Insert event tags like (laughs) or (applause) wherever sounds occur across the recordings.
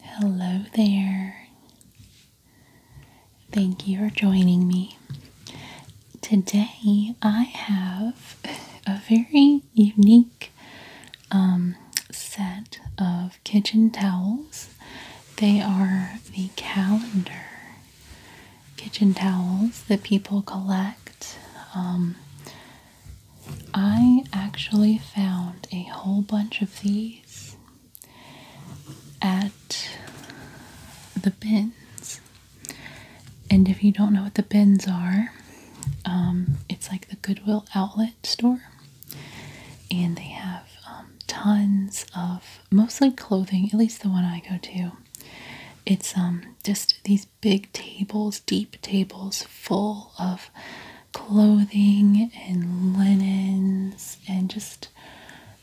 Hello there. Thank you for joining me. Today I have (laughs) a very unique um, set of kitchen towels. They are the calendar kitchen towels that people collect. Um, I actually found a whole bunch of these at the bins. And if you don't know what the bins are, um, it's like the Goodwill outlet store. And they have um, tons of mostly clothing, at least the one I go to. It's um, just these big tables, deep tables full of clothing and linens and just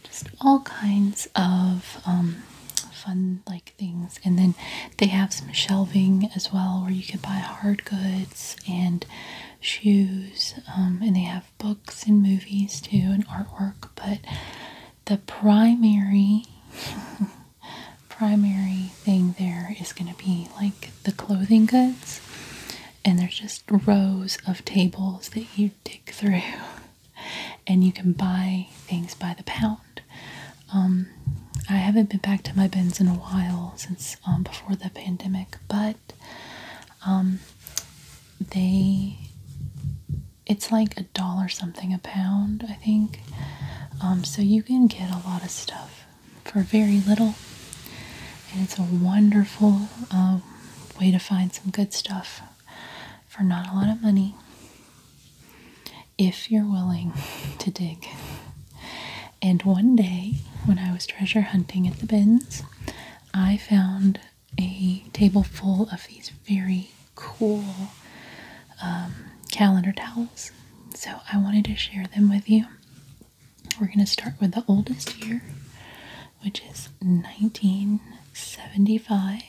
just all kinds of um, fun like things and then they have some shelving as well where you can buy hard goods and shoes um, and they have books and movies too and artwork but the primary (laughs) primary thing there is going to be like the clothing goods, and there's just rows of tables that you dig through, (laughs) and you can buy things by the pound. Um, I haven't been back to my bins in a while since um, before the pandemic, but um, they it's like a dollar something a pound, I think. Um, so you can get a lot of stuff for very little, and it's a wonderful um, way to find some good stuff for not a lot of money if you're willing to dig. And one day, when I was treasure hunting at the bins, I found a table full of these very cool um, calendar towels. So I wanted to share them with you. We're going to start with the oldest year, which is 1975.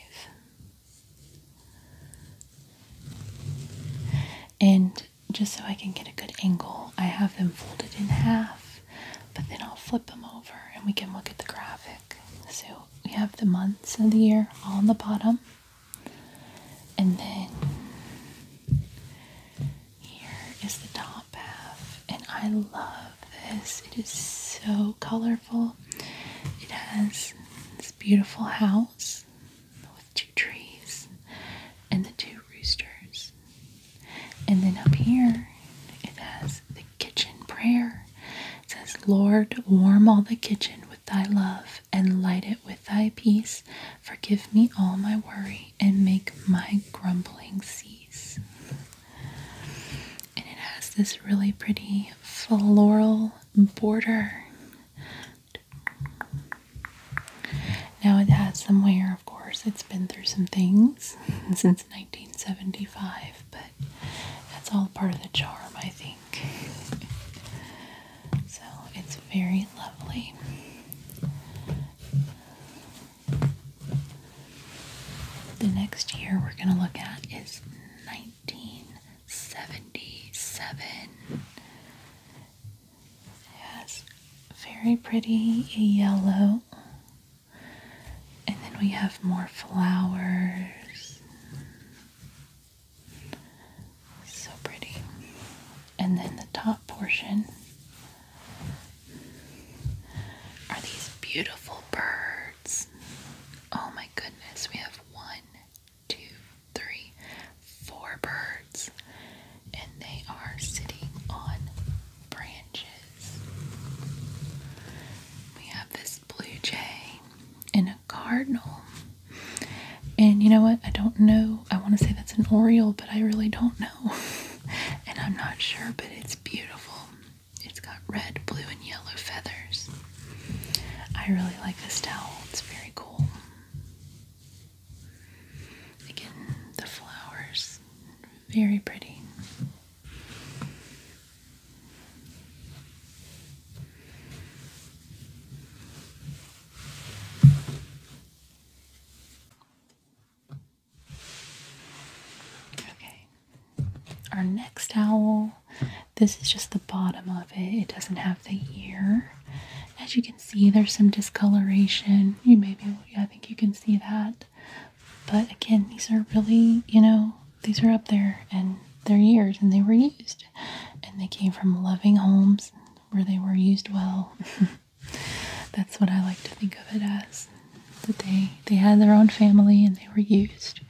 And just so I can get a good angle, I have them folded in half, but then I'll flip them over and we can look at the graphic. So we have the months of the year on the bottom. And then here is the top half, and I love this. It is so colorful. It has this beautiful house with two trees and the two roosters. And then up here, it has the kitchen prayer. It says, Lord, warm all the kitchen with thy love and light it with thy peace. Forgive me all my worry and make my grumbling cease. And it has this really pretty floral border. Now it has some wear, of course. It's been through some things (laughs) since 1975, but that's all part of the charm, I think. So it's very lovely. The next year we're going to look at is 1977. It very pretty yellow. And then we have more flowers. So pretty. And then the top portion are these beautiful birds. Oh my goodness, we have one, two, three, four birds, and they are sitting on branches. We have this blue jay, and cardinal. And you know what? I don't know. I want to say that's an oriole, but I really don't know. (laughs) and I'm not sure, but it's beautiful. It's got red, blue, and yellow feathers. I really like this towel. It's very cool. Again, the flowers. Very pretty. Okay. Our next owl, this is just the bottom of it. It doesn't have the ear. As you can see, there's some discoloration. You may be, able. I think you can see that. But again, these are really, you know, these are up there and they're years and they were used and they came from loving homes where they were used well. (laughs) That's what I like to think of it as. That they they had their own family and they were used.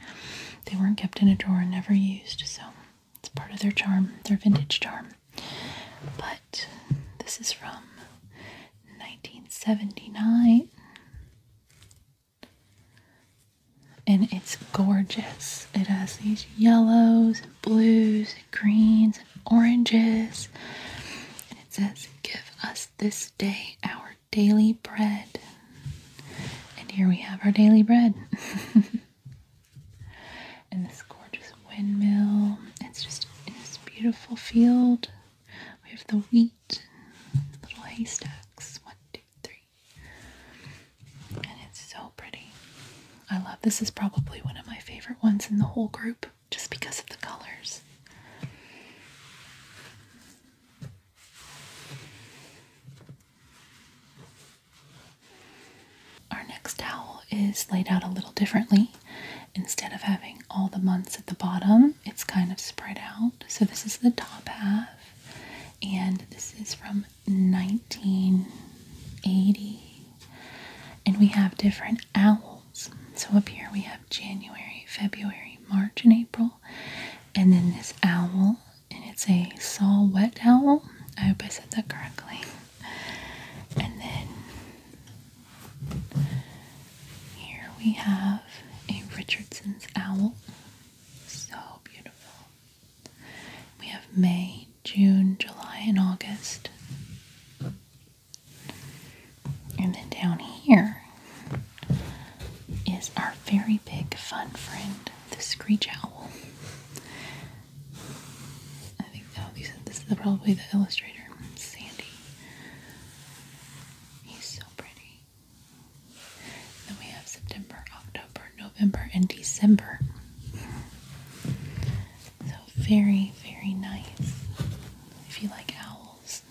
They weren't kept in a drawer and never used, so it's part of their charm, their vintage charm. But this is from 1979 and it's gorgeous. It has these yellows, and blues, and greens, and oranges. And it says, Give us this day our daily bread. And here we have our daily bread. (laughs) and this gorgeous windmill. It's just in this beautiful field. We have the wheat, little haystacks. One, two, three. And it's so pretty. I love this is probably one of my favorite ones in the whole group just because of the colors. Our next towel is laid out a little differently. Instead of having all the months at the bottom, it's kind of spread out. So, this is the top half, and this is from 1980 and we have different owls so up here we have January February March and April and then this owl and it's a saw wet owl I hope I said that correctly and then here we have a Richardson's owl so beautiful. We have May, June, July, and August. And then down here is our very big fun friend, the screech owl. I think this is probably the illustrator, Sandy. He's so pretty. Then we have September, October, November, and December. So very, very nice. If you like owls,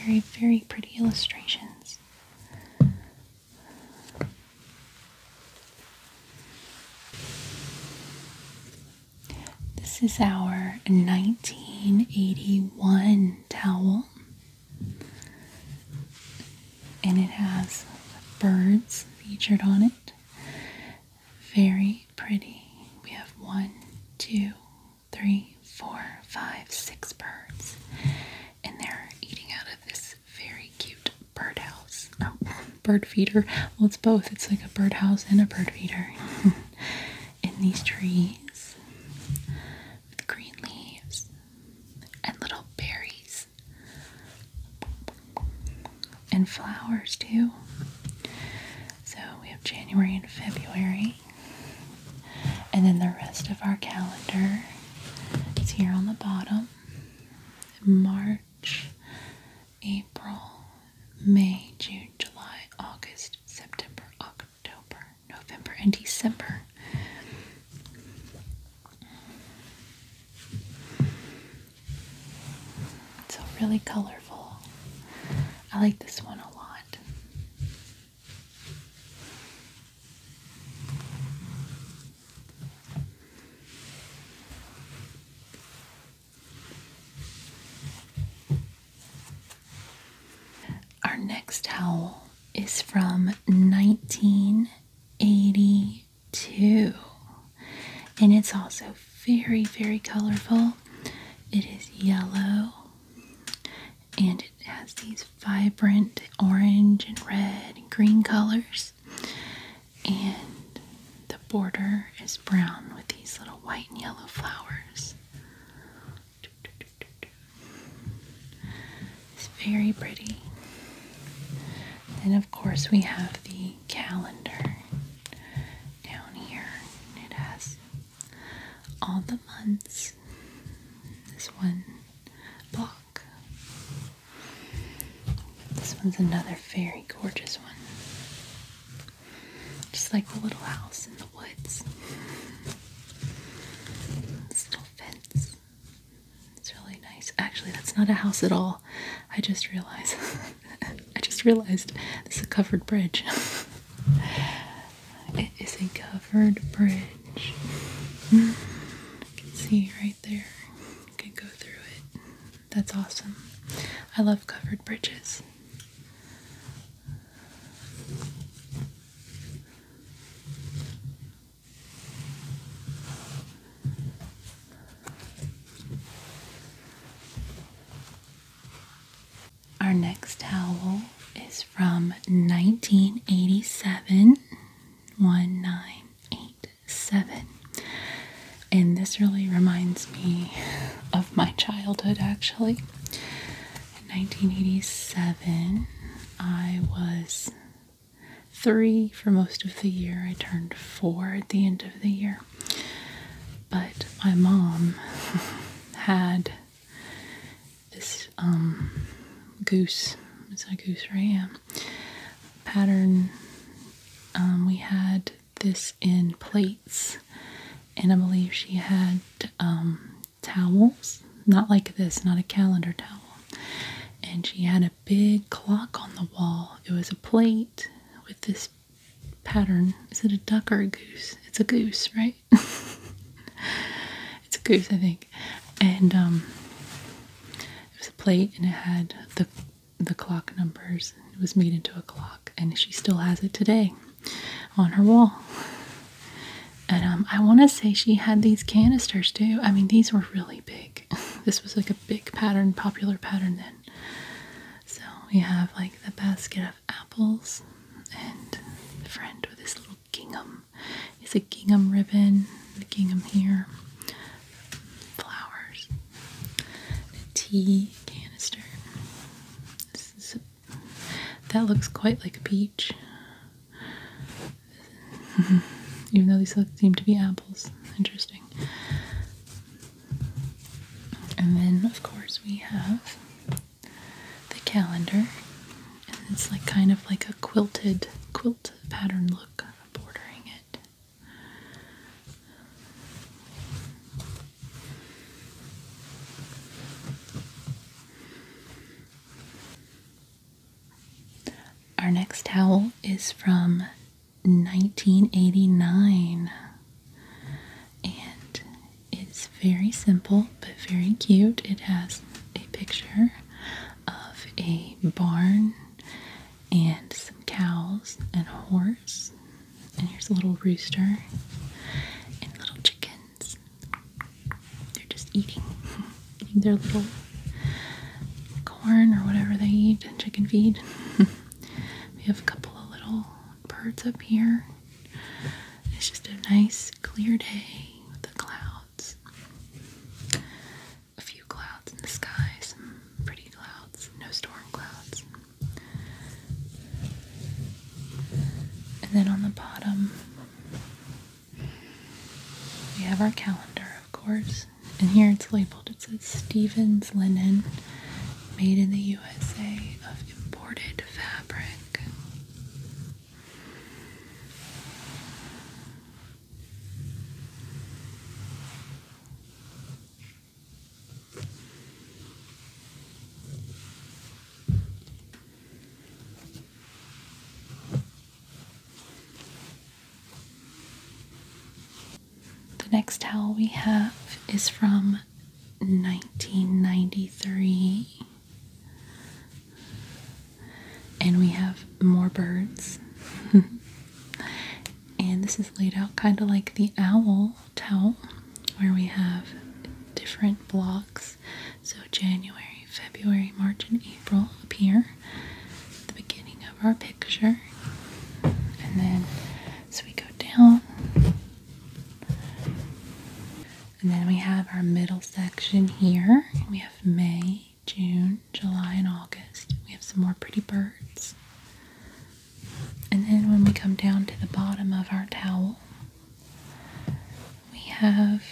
very, very pretty illustrations. This is our 1981 towel and it has birds featured on it. Very pretty. We have one, two, three, four, five, six birds, and they're eating out of this very cute birdhouse. Oh, bird feeder. Well, it's both. It's like a birdhouse and a bird feeder. (laughs) in these trees with green leaves, and little berries and flowers too. So we have January and February, and then the rest of our calendar is here on the bottom March, April, May, June, July, August, September, October. October, November, and December. So really colorful. I like this one a lot. Our next towel is from 1982 and it's also very, very colorful. It is yellow and it has these vibrant orange and red and green colors, and the border is brown with these little white and yellow flowers. It's very pretty. Then, of course, we have the calendar down here. It has all the months. This one block. This one's another very gorgeous one. Just like the little house in the woods fence. It's really nice. Actually, that's not a house at all. I just realized. (laughs) I just realized this is a covered bridge. (laughs) it is a covered bridge. You hmm. can see right there. You can go through it. That's awesome. I love covered bridges. Our next towel is from 1987 1987 and this really reminds me of my childhood actually in 1987, I was three for most of the year. I turned four at the end of the year. But my mom (laughs) had this um, goose, it's a goose ram pattern. Um, we had this in plates, and I believe she had um, towels, not like this, not a calendar towel. And she had a big clock on the wall. It was a plate with this pattern. Is it a duck or a goose? It's a goose, right? (laughs) it's a goose, I think. And um, it was a plate, and it had the the clock numbers. It was made into a clock, and she still has it today on her wall. And um, I want to say she had these canisters too. I mean, these were really big. (laughs) this was like a big pattern, popular pattern then. So we have like the basket of apples and the friend with his little gingham. It's a gingham ribbon, the gingham here, flowers, the tea canister. That looks quite like a peach. (laughs) Even though these seem to be apples. Interesting. And then, of course, we have the calendar. And it's like kind of like a quilted quilt pattern look bordering it. Our next towel is from 1989 and it's very simple but very cute. It has a picture of a barn and some cows and a horse, and here's a little rooster and a little chicken they're just eating their little corn or whatever they eat, chicken feed. (laughs) we have a couple of little birds up here. It's just a nice clear day with the clouds. A few clouds in the sky, some pretty clouds, no storm clouds. And then on the bottom, we have our calendar, of course. And here it's labeled. It says Stevens Linen, made in the USA of imported fabric. The next towel we have is from 1993. And we have more birds. (laughs) and this is laid out kind of like the owl towel where we have different blocks. So January, February, March, and April appear at the beginning of our picture. And then, so we go down. And then we have our middle section here. We have May, June, July, and August. We have some more pretty birds. And then when we come down to the bottom of our towel, we have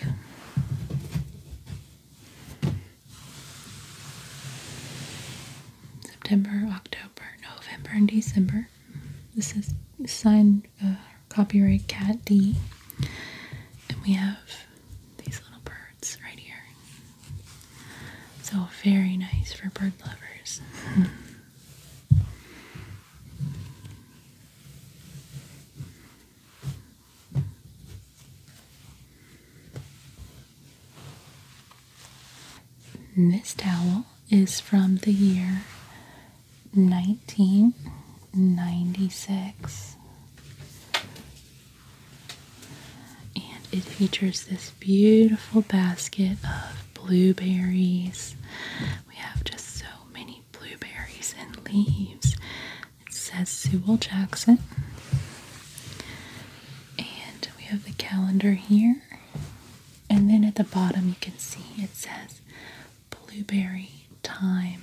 September, October, November, and December. This is signed uh, copyright Cat D. And we have these little birds right here. So, very nice for bird lovers. (laughs) This towel is from the year 1996 and it features this beautiful basket of blueberries we have just so many blueberries and leaves. It says Sewell Jackson. And we have the calendar here. And then at the bottom, you can see it says blueberry time.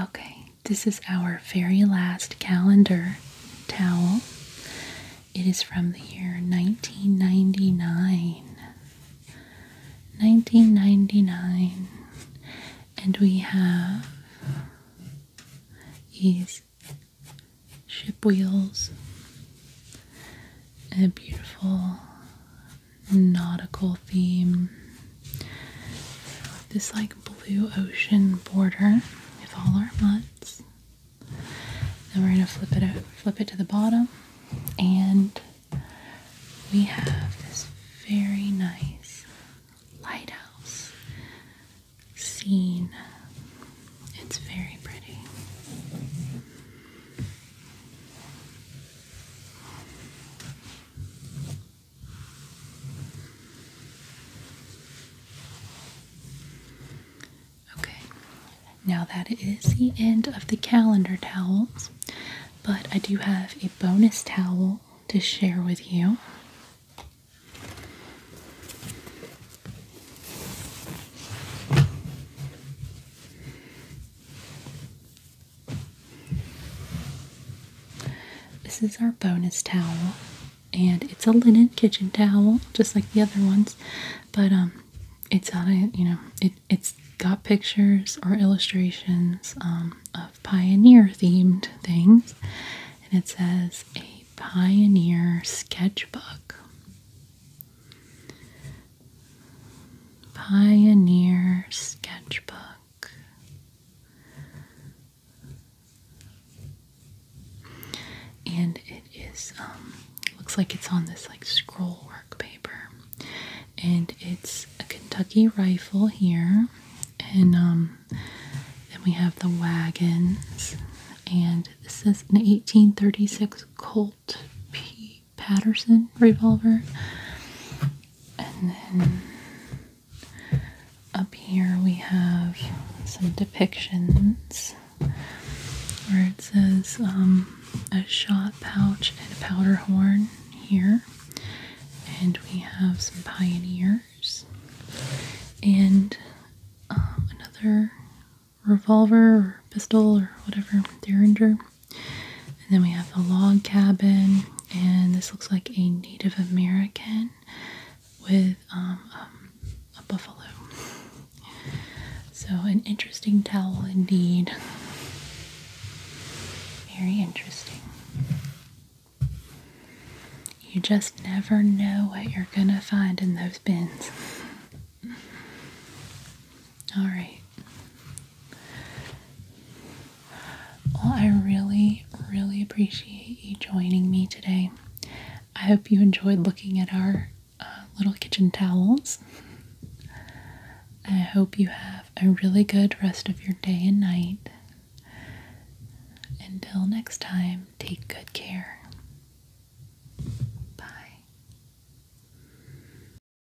Okay, this is our very last calendar towel. It is from the year 1999. 1999. And we have these ship wheels and a beautiful nautical theme this like blue ocean border with all our mutts. Then we're gonna flip it flip it to the bottom, and we have this very nice lighthouse scene. It's very pretty. Okay, now that is the end of the calendar towels, but I do have a bonus towel to share with you. This is our bonus towel, and it's a linen kitchen towel, just like the other ones. But um, it's on a you know it it's got pictures or illustrations um, of pioneer themed things, and it says a pioneer sketchbook. Pioneer sketchbook. And it is um, looks like it's on this like scroll work paper. And it's a Kentucky rifle here. And um, then we have the wagons and this is an 1836 Colt P Patterson revolver. And then up here we have some depictions where it says um, a shot pouch and a powder horn here. And we have some pioneers and um, another revolver or pistol or whatever, Derringer. And then we have the log cabin, and this looks like a Native American with um, um, a buffalo. So, an interesting towel indeed. Very interesting. You just never know what you're gonna find in those bins. All right. Well, I really, really appreciate you joining me today. I hope you enjoyed looking at our uh, little kitchen towels. I hope you have a really good rest of your day and night. Until next time, take good care. Bye.